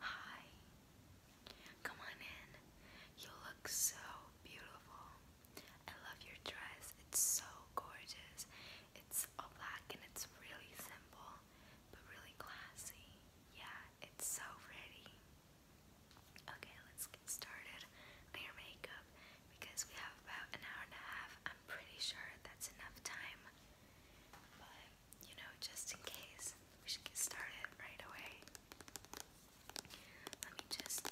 Hi. Come on in. You look so beautiful. I love your dress. It's so gorgeous. It's all black and it's really simple, but really classy. Yeah, it's so pretty. Okay, let's get started on your makeup because we have about an hour and a half. I'm pretty sure that's enough time. But you know, just in case, we should get started right away. Let me just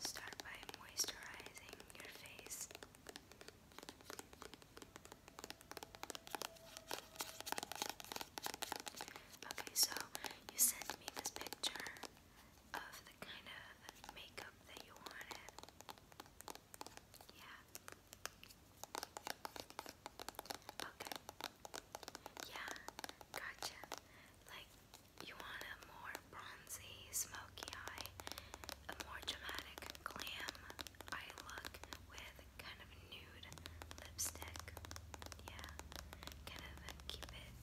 start by moisturizing your face. Okay, so you sent me this picture of the kind of makeup that you wanted. Yeah. Okay. Yeah, gotcha. Like, you want a more bronzy, smoky eye, a more dramatic, glam eye look with kind of nude lipstick. Yeah, kind of keep it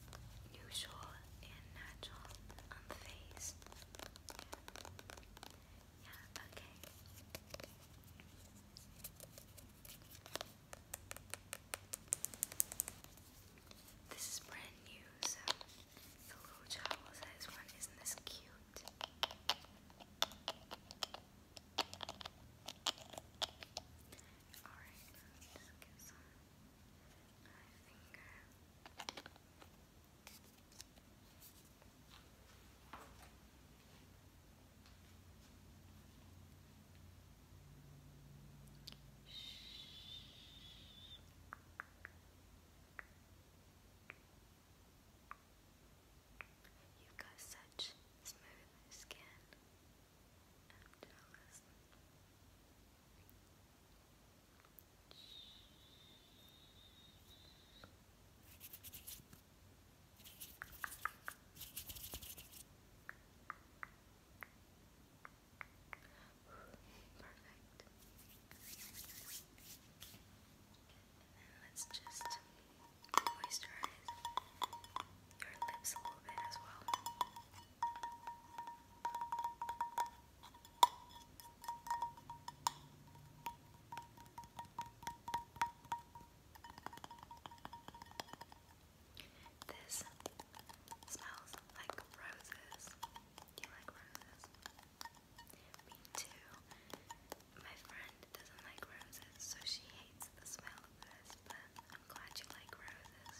neutral and natural on the face. Yeah, okay. This is brand new, so the little child says one, isn't this cute? Alright, just get some my finger. You've got such smooth skin. I'm jealous. Perfect. And then let's just moisturize your lips a little bit as well. Okay. This smells like roses. Do you like roses? Me too. My friend doesn't like roses, so she hates the smell of this, but I'm glad you like roses.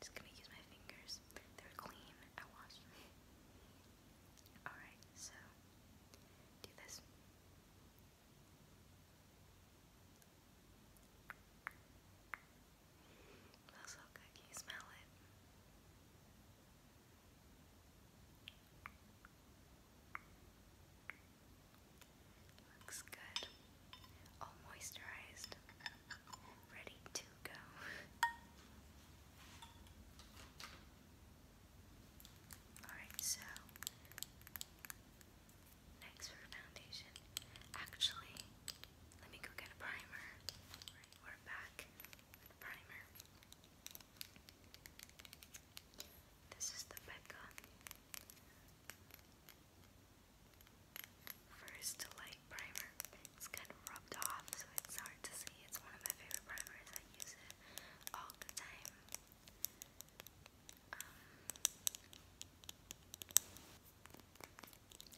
Just gonna use my fingers. They're clean. I washed them. Alright, so do this. Smells so good. you smell it? Looks good. All moisturized ready to go. Alright, so next for foundation. Actually, let me go get a primer. we're back primer. This is the Becca First Light Primer. It's kind of rubbed off, so it's hard to see. It's one of my favorite primers. I use it all the time. Um,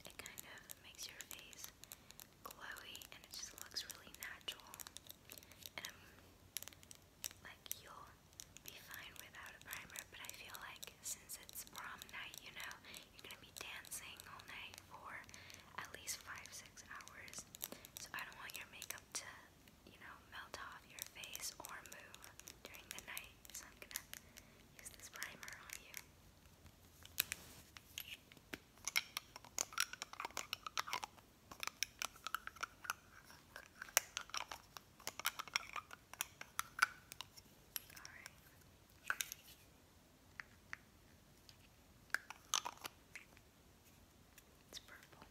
it kind of makes your face glowy, and it just looks really natural. And I'm um, like, you'll be fine without a primer, but I feel like since it's prom night, you know, you're gonna be dancing all night for at least five, six hours. So I don't want your makeup to, you know, melt off your face or move during the night. So I'm gonna use this primer on you. Alright. It's purple.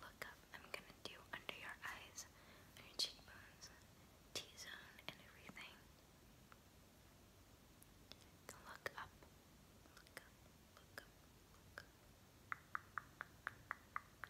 Look up. I'm gonna do under your eyes, your cheekbones, T zone, and everything. Look up. Look up. Look up. Look up.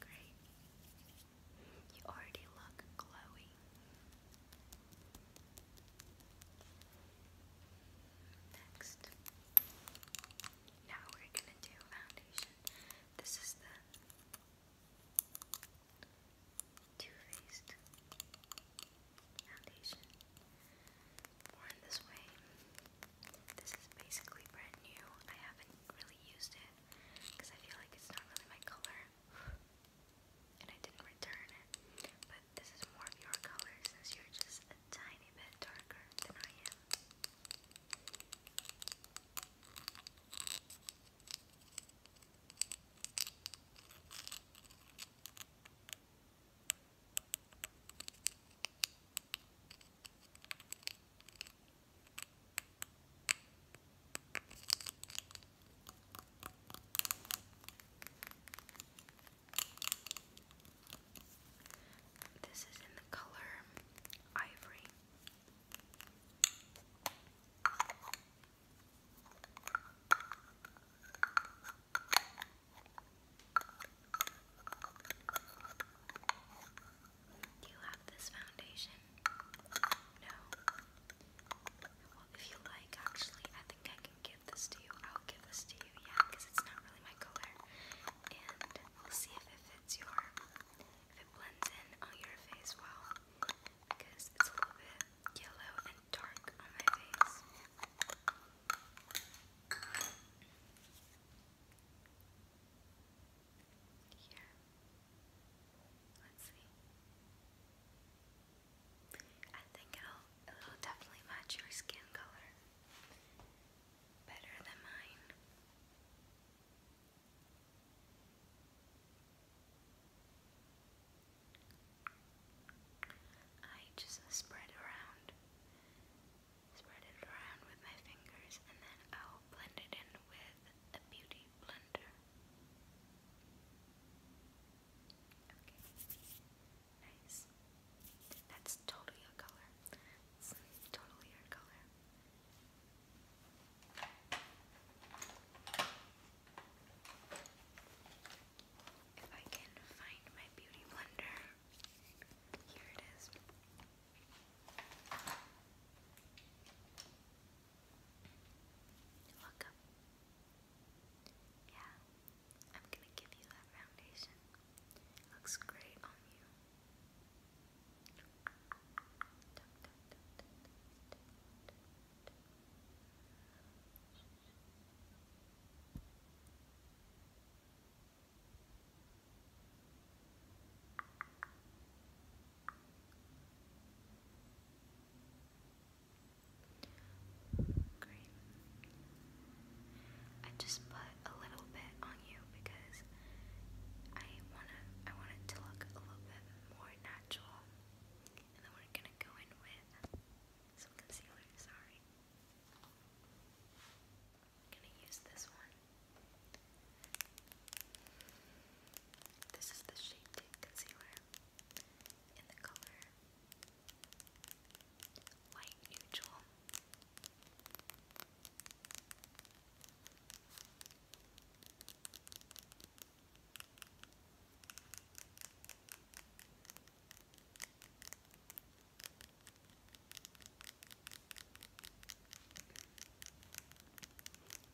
Great. You already look glowy. Next. Now we're gonna do foundation. This is the Too Faced foundation. Worn this way. This is basically brand new. I haven't really used it because I feel like it's not really my color and I didn't return it. But this is more your color since you're just a tiny bit darker than I am. This is in the color ivory you have this foundation? No. Well, if you like, actually, I think I can give this to you. I'll give this to you, yeah, because it's not really my color. And we'll see if it fits your, if it blends in on your face well. Because it's a little bit yellow and dark on my face. Here. Let's see. I think it'll it'll definitely match your skin color better than mine. I just spread around, spread it around with my fingers, and then I'll blend it in with a beauty blender. Okay, nice. That's totally your color. It's totally your color. If I can find my beauty blender, here it is. Welcome. Yeah, I'm gonna give you that foundation. Looks great on you. Great. I just put a little bit on you because I wanna I want to look a little bit more natural. And then we're gonna go in with some concealer, sorry. gonna use this one. This is the Shade Tint Concealer in the color Light Neutral.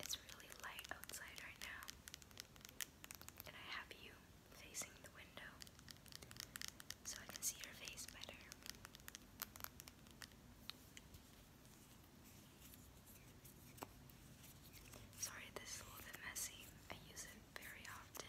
It's really light outside right now, and I have you facing the window so I can see your face better. Sorry, this is a little bit messy. I use it very often.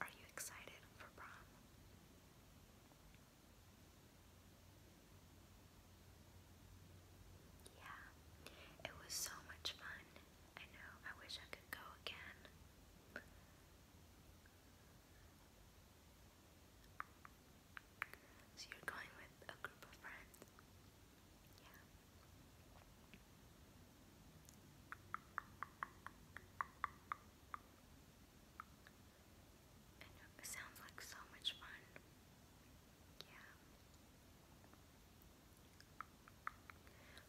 Are you excited for prom? Yeah, it was so much fun. I know, I wish I could go again. So you're going with a group of friends? Yeah. it sounds like so much fun. Yeah.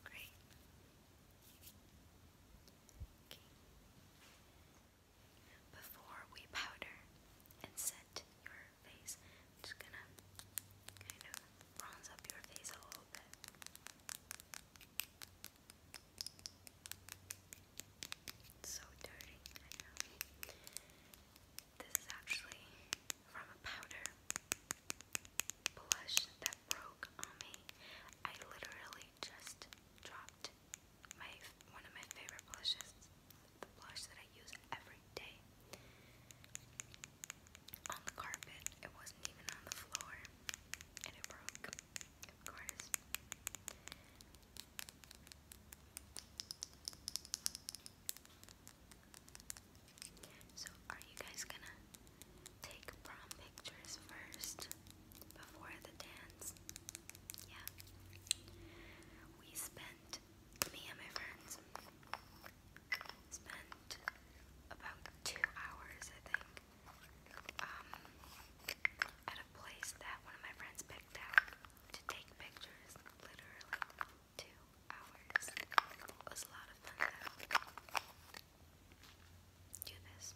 Great. Okay. Before we powder and set your face. i just gonna kind of bronze up your face a little bit. It's so dirty, This is actually from a powder blush that broke on me. I literally just dropped my one of my favorite blushes the blush that I use every day on the carpet. It wasn't even on the floor, and it broke, of course. So, are you guys gonna take prom pictures first before the dance? Yeah. We spent me and my friends spent about two hours, I think, um, at a place that one of my friends picked out to take pictures. Literally two hours. It was a lot of fun though. Do this.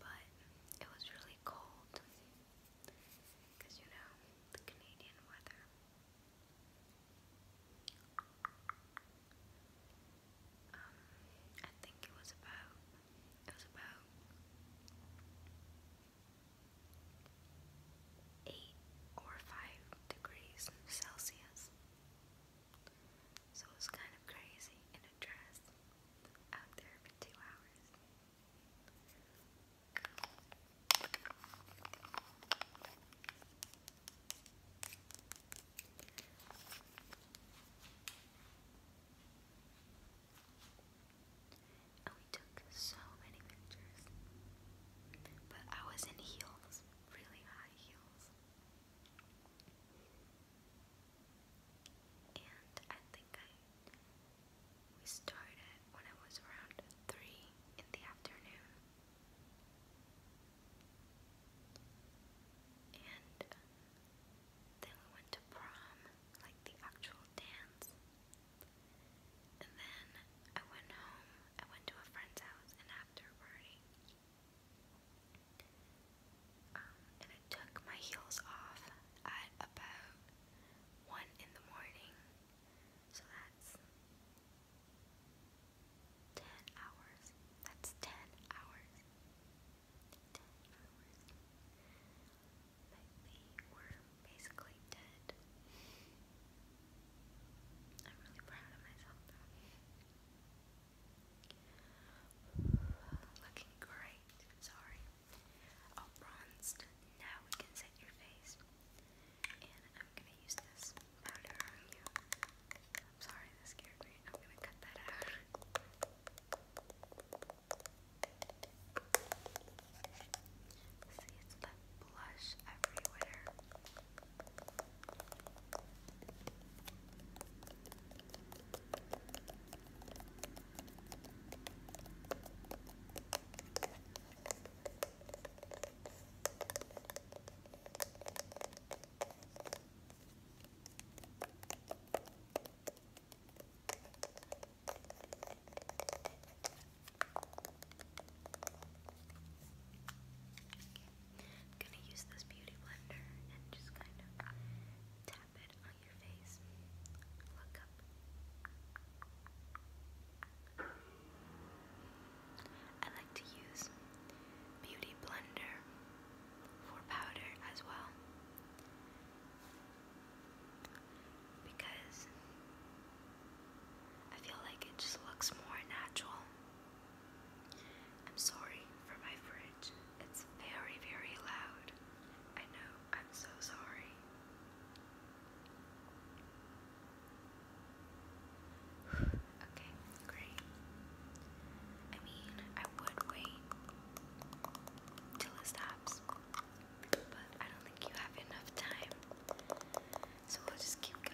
But it was really cold because you know the Canadian weather. Um, I think it was about it was about eight or five degrees Celsius. So it was kind of crazy that dress out there for two hours. And we took so many pictures. But I was in heels, really high heels. And I think I we started when I was around three in the afternoon. And then we went to prom, like the actual dance. And then I went home, I went to a friend's house, and after party. Um, and I took my heels off at about 1 in the morning. So that's 10 hours. That's 10 hours. 10 hours. But we were basically dead. I'm really proud of myself though. Looking great, sorry. All bronzed. Now we can set your face. And I'm gonna use this powder on you. I'm sorry, this scared me. I'm gonna cut that out. See, it's that blush everywhere. I'm gonna use this beauty blender and just kind of tap it on your I like to use Beauty Blender for powder as well. Because I feel like it just looks more natural. I'm sorry for my fridge. It's very, very loud. I know, I'm so sorry. okay, great. I mean, I would wait till it stops, but I don't think you have enough time. So we'll just keep going.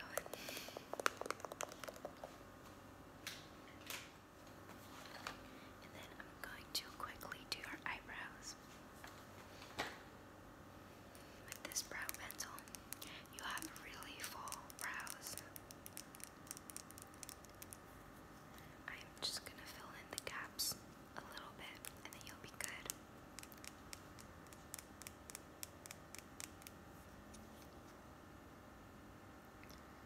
And then I'm going to quickly do your eyebrows. With this brow pencil, you have really full brows. I'm just going to fill in the gaps a little bit and then you'll be good.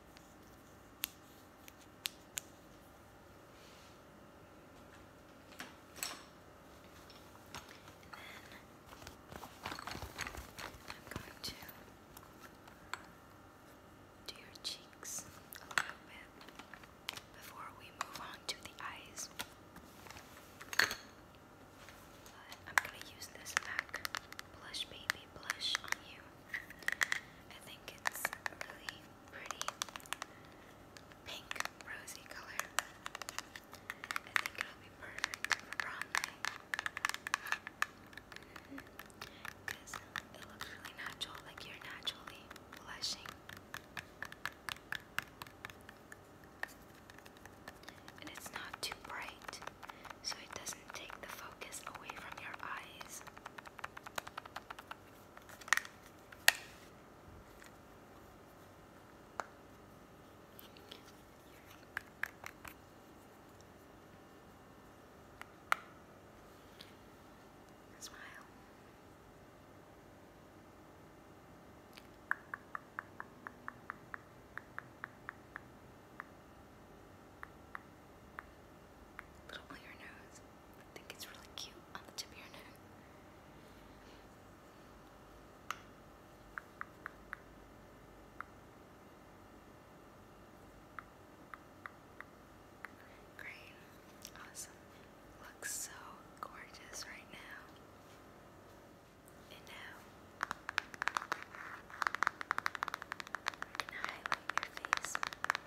I'm going to do your cheeks a little bit before we move on to the eyes. But I'm going to use this MAC blush baby blush on you. I think it's really pretty pink rosy color. I think it'll be perfect for prom night. Because it looks really natural, like you're naturally blushing. And it's not too bright so it doesn't take the focus away from your eyes. Smile. Little on your nose. I think it's really cute on the tip of your nose. Great. Awesome. Looks so gorgeous right now. And now I can highlight your face. Good.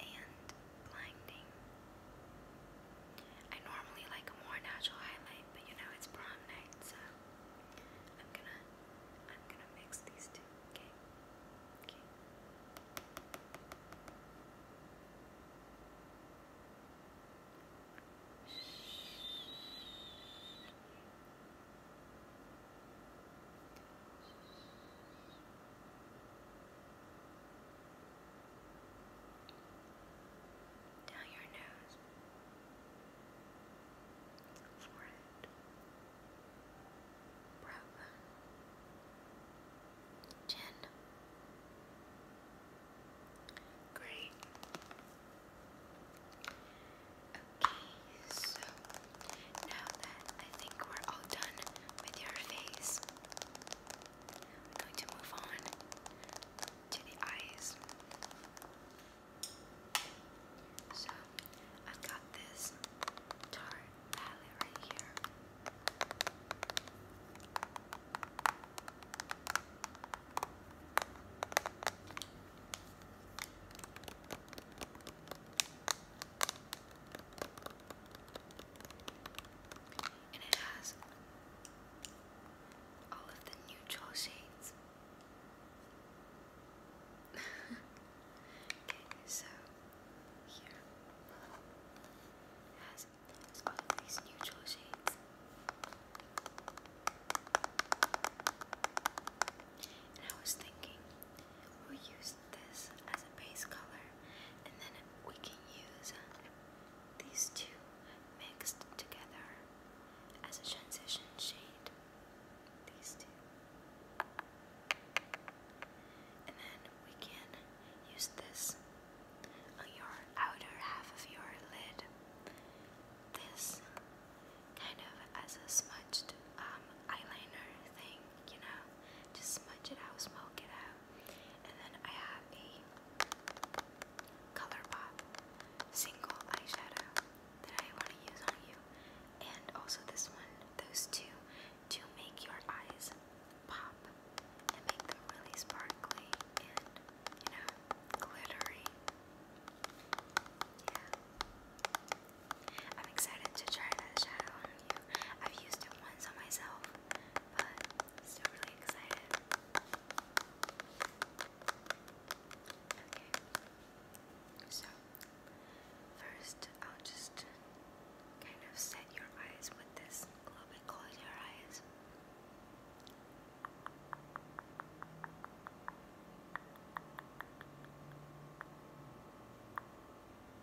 and blinding. I normally like a more natural highlight, but you know it's prom night, so I'm gonna I'm gonna mix these two, okay? Okay down your nose, forehead, brow bone, chin. Great. Okay. So now that I think we're all done with your face, I'm going to move on to the eyes. So I've got this Tarte palette right here. And it has all of the neutral shades. okay, so here it has all of these neutral shades. And I was thinking, we use this as a base color, and then we can use these two mixed together as a transition shade. These two. And then we can use this on your outer half of your lid. This kind of as a smudged um, eyeliner thing you know, just smudge it out, smoke it out. And then I have a ColourPop single eyeshadow that I want to use on you. And also this one, those two, to make your eyes pop and make them really sparkly and, you know, glittery. Yeah. I'm excited to try that shadow on you. I've used it once on myself, but still really excited. Okay. So, first I'll just kind of set your eyes with this a little bit. Close your eyes.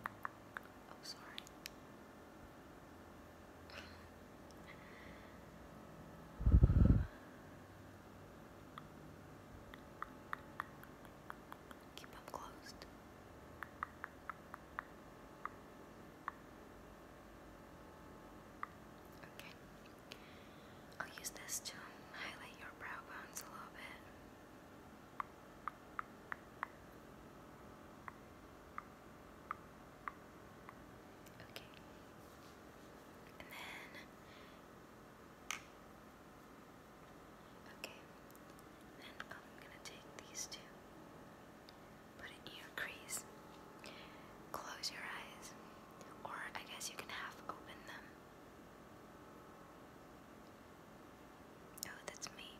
Oh, sorry. Keep them closed. Okay. I'll use this to highlight your brow bones a little bit. Okay. And then Okay. Then I'm going to take these two. Put it in your crease. Close your eyes. Or I guess you can half open them. Oh, that's me.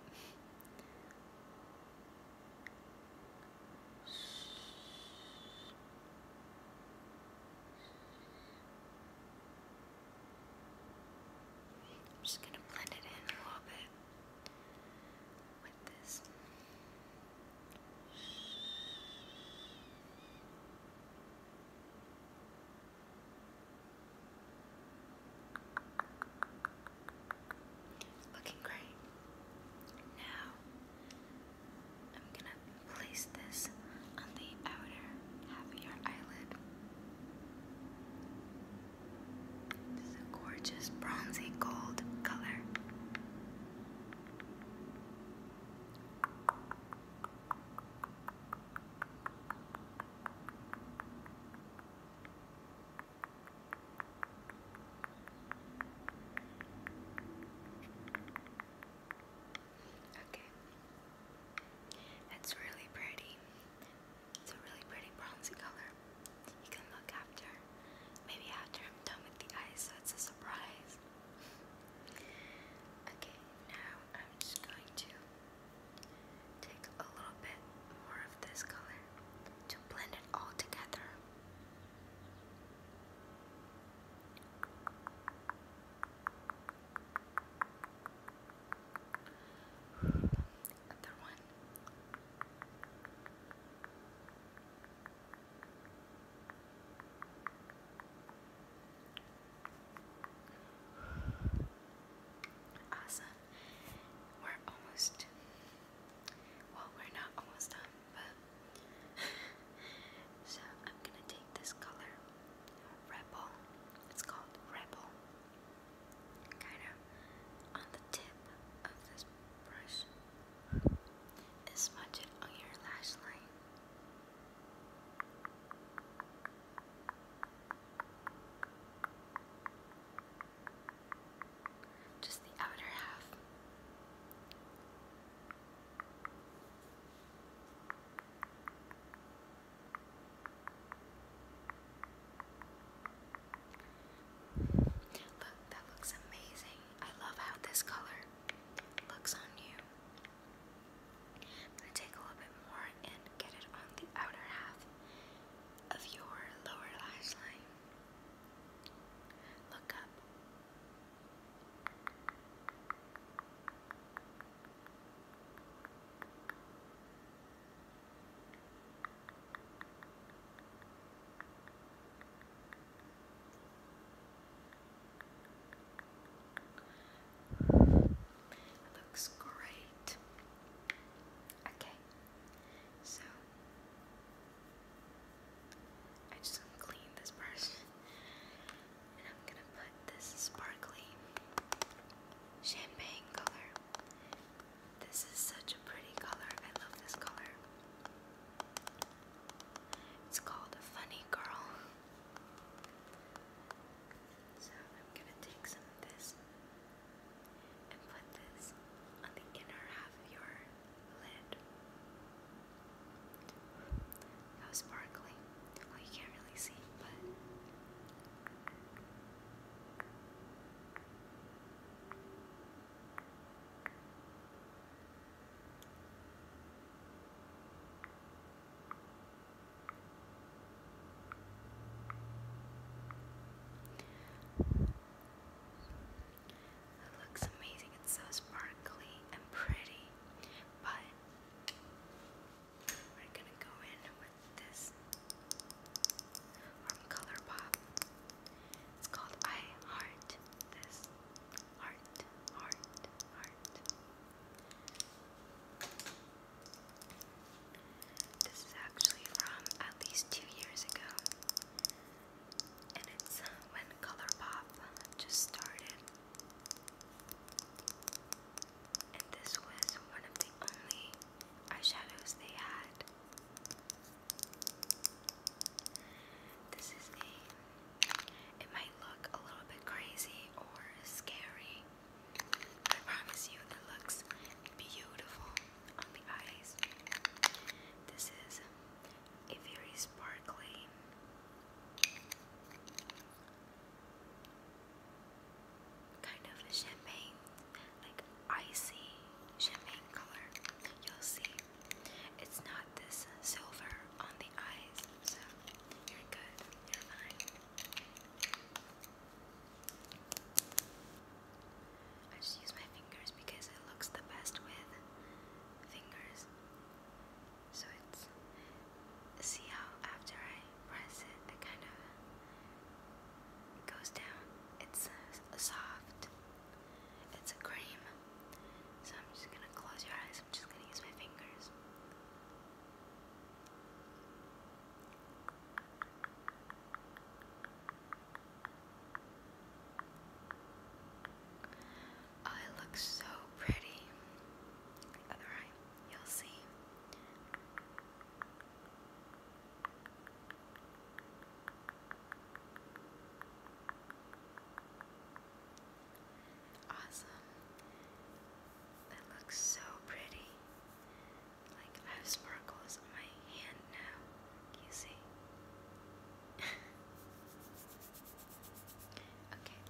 I'm just going to blend it in a little bit with this. Looking great. Now I'm gonna place this on the outer half of your eyelid. This is a gorgeous bronzy gold color. Okay. That's really pretty. It's a really pretty bronzy color. You can look after. Maybe after I'm done with the eyes, so it's a surprise. okay, now I'm just going to Take a little bit more of this color to blend it all together. Other one. Awesome. We're almost. Well, we're not almost done, but. so I'm gonna take this color, Rebel. It's called Rebel. Kind of on the tip of this brush and smudge it on your lash line. Just the outer half. Look, that looks amazing. I love how this color looks on you take a little bit more and get it on the outer half of your lower lash line. Look up. Looks great. Okay, so I just clean this brush and I'm gonna put this sparkly champagne color. This is such a pretty color, I love this color. It's called a Funny Girl. So I'm gonna take some of this and put this on the inner half of your lid. How sparkly. Well, you can't really see, but. It looks amazing, it's so sparkly and pretty, but we're gonna go in with this from ColourPop. It's called I Heart This. Heart, heart, heart. This is actually from at least two years ago, and it's when ColourPop just started. And this was one of the only eyeshadows they had. This is a. It might look a little bit crazy or scary, I promise you, that looks beautiful on the eyes. This is a very sparkly kind of champagne, like icy champagne color. You'll see. It's not this silver on the eyes, so you're good, you're fine. I just use my fingers because it looks the best with fingers. So it's. See how after I press it, it kind of goes down. It's uh, soft. It's a cream. So I'm just gonna close your eyes. I'm just gonna use my fingers. Oh, it so pretty. All right, you'll see. Awesome. That looks so pretty. Like I have sparkles on my hand now. you see? okay,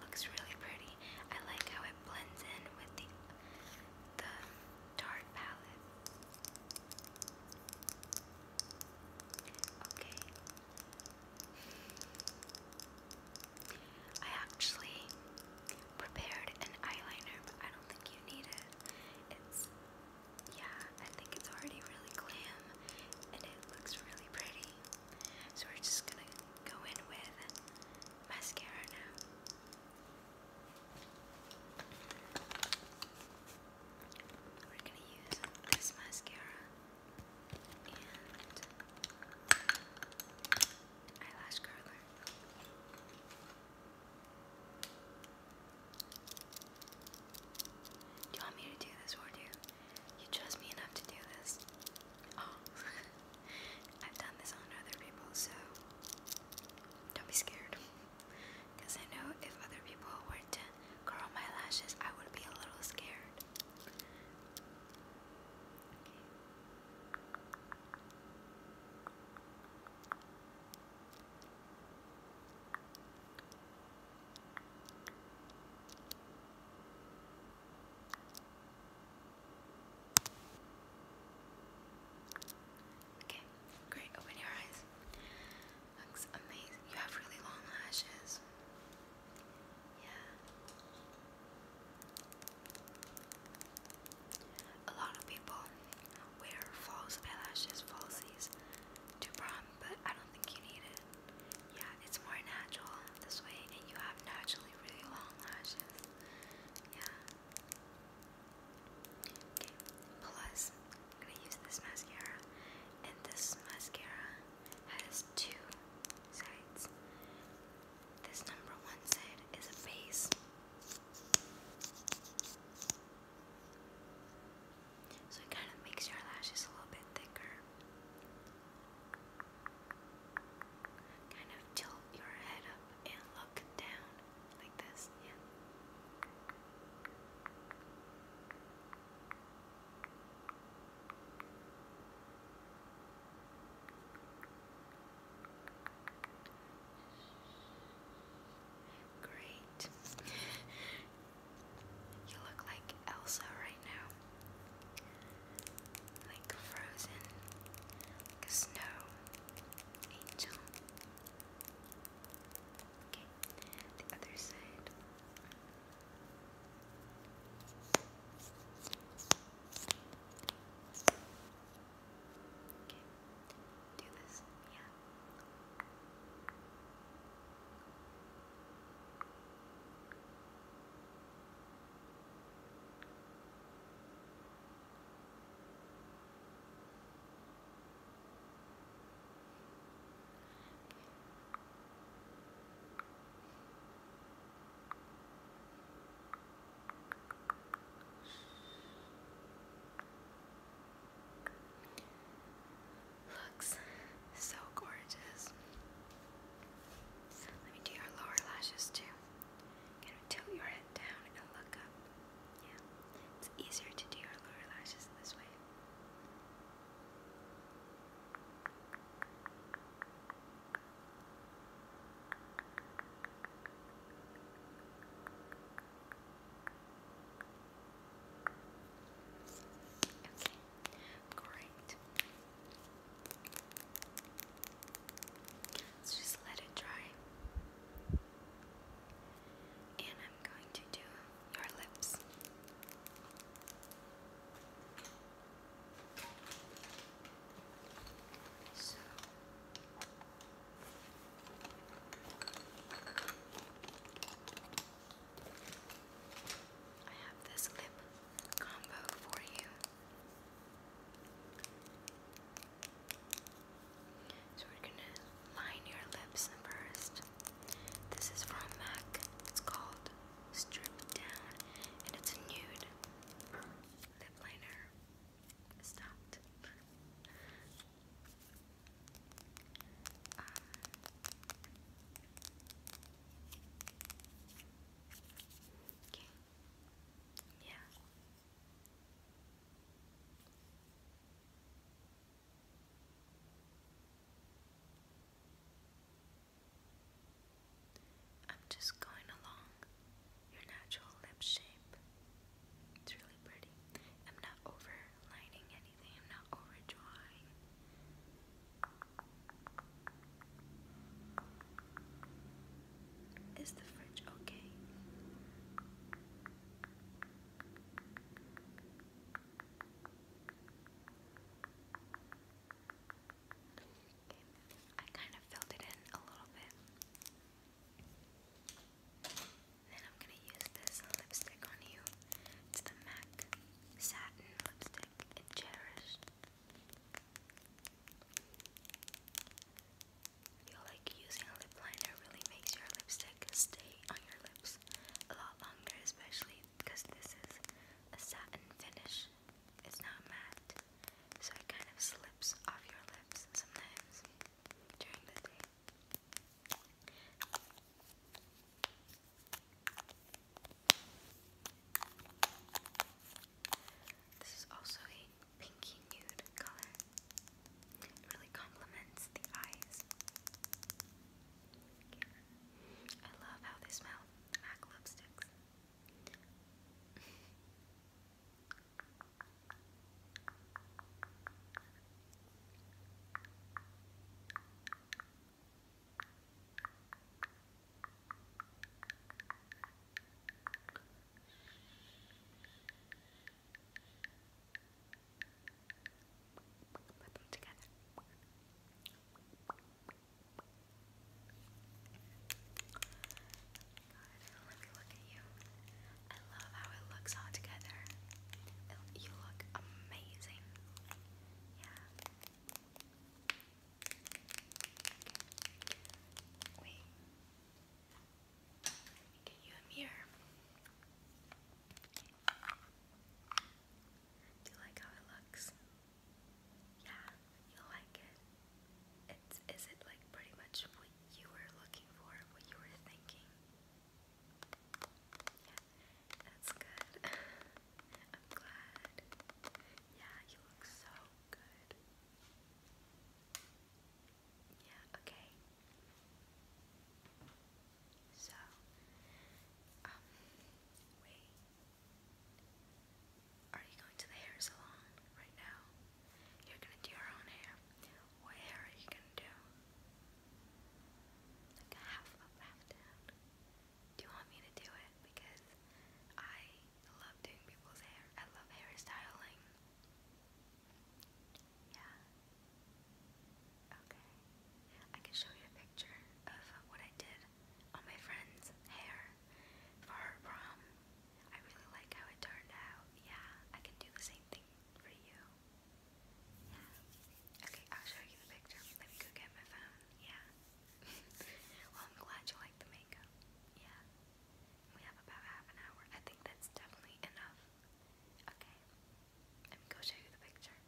looks really pretty. I like how it blends in with the the dark palette. Okay, I actually prepared an eyeliner, but I don't think you need it. It's, yeah, I think it's already really glam and it looks really pretty. So we're just gonna go in with mascara now. We're gonna use this mascara and eyelash curler. Do you want me to do this for you? You trust me enough to do this? Oh, I've done this on other people, so don't be scared. Because I know if other people were to curl my lashes, I would be a little scared. Okay. Okay, great. Open your eyes. Looks amazing. You have really long lashes. Yeah. A lot of people wear false eyelashes, falsies to prom, but I don't think you need it. Yeah, it's more natural this way, and you have naturally really long lashes. Yeah. plus, I'm gonna use this mascara, and this mascara has two sides. This number one side is a face. So it kind of makes your lashes a little bit thicker. Kind of tilt your head up and look down like this, yeah. Great. You look like Elsa right now. Like frozen, snow angel. Okay, the other side do this, yeah. Looks so gorgeous. Let me do your lower lashes too. Kind of tilt your head down and look up. Yeah, it's easier to do your lower lashes this way. Okay, great. Let's just let it dry. And I'm going to do your lips. So I have this lip combo for you. So we're gonna line your lips first. This is from MAC. It's called stripped down, and it's a nude lip liner. Stopped. Uh, okay. Yeah. I'm just going along your natural lip shape. It's really pretty. I'm not overlining anything, I'm not overdrawing. Is the fridge okay? I kind of filled it in a little bit. Then I'm gonna use this lipstick on you. It's the MAC Satin Lipstick in Cherished. I feel like using a lip liner really makes your lipstick stay on your lips a lot longer, especially because this is a satin finish. It's not matte, so it kind of slips off your lips sometimes during the day. This is also a pinky nude color. really complements the eyes. I love how they smell. Oh, MAC lipsticks. Put them together. God, let me look at you. I love how it looks all together. you look amazing. Yeah. Wait. Let me get you a mirror. Do you like how it looks? Yeah, you like it. It's, is it like pretty much what you were looking for, what you were thinking? Yeah, that's good. I'm glad. Yeah, you look so good. Yeah, okay. So, um, wait. Are you going to the hair salon right now? You're gonna do your own hair. What hair are you gonna do? Like a half up, half down. Do you want me to do it? Because I love doing people's hair. I love hairstyling. Yeah. Okay. I can show you a picture of what I did on my friend's hair for her prom. I really like how it turned out. Yeah, I can do the same thing for you. Yeah. Okay, I'll show you the picture. Let me go get my phone. Yeah. well, I'm glad you like the makeup. Yeah. We have about half an hour. I think that's definitely enough. Okay. Let me go show you the picture.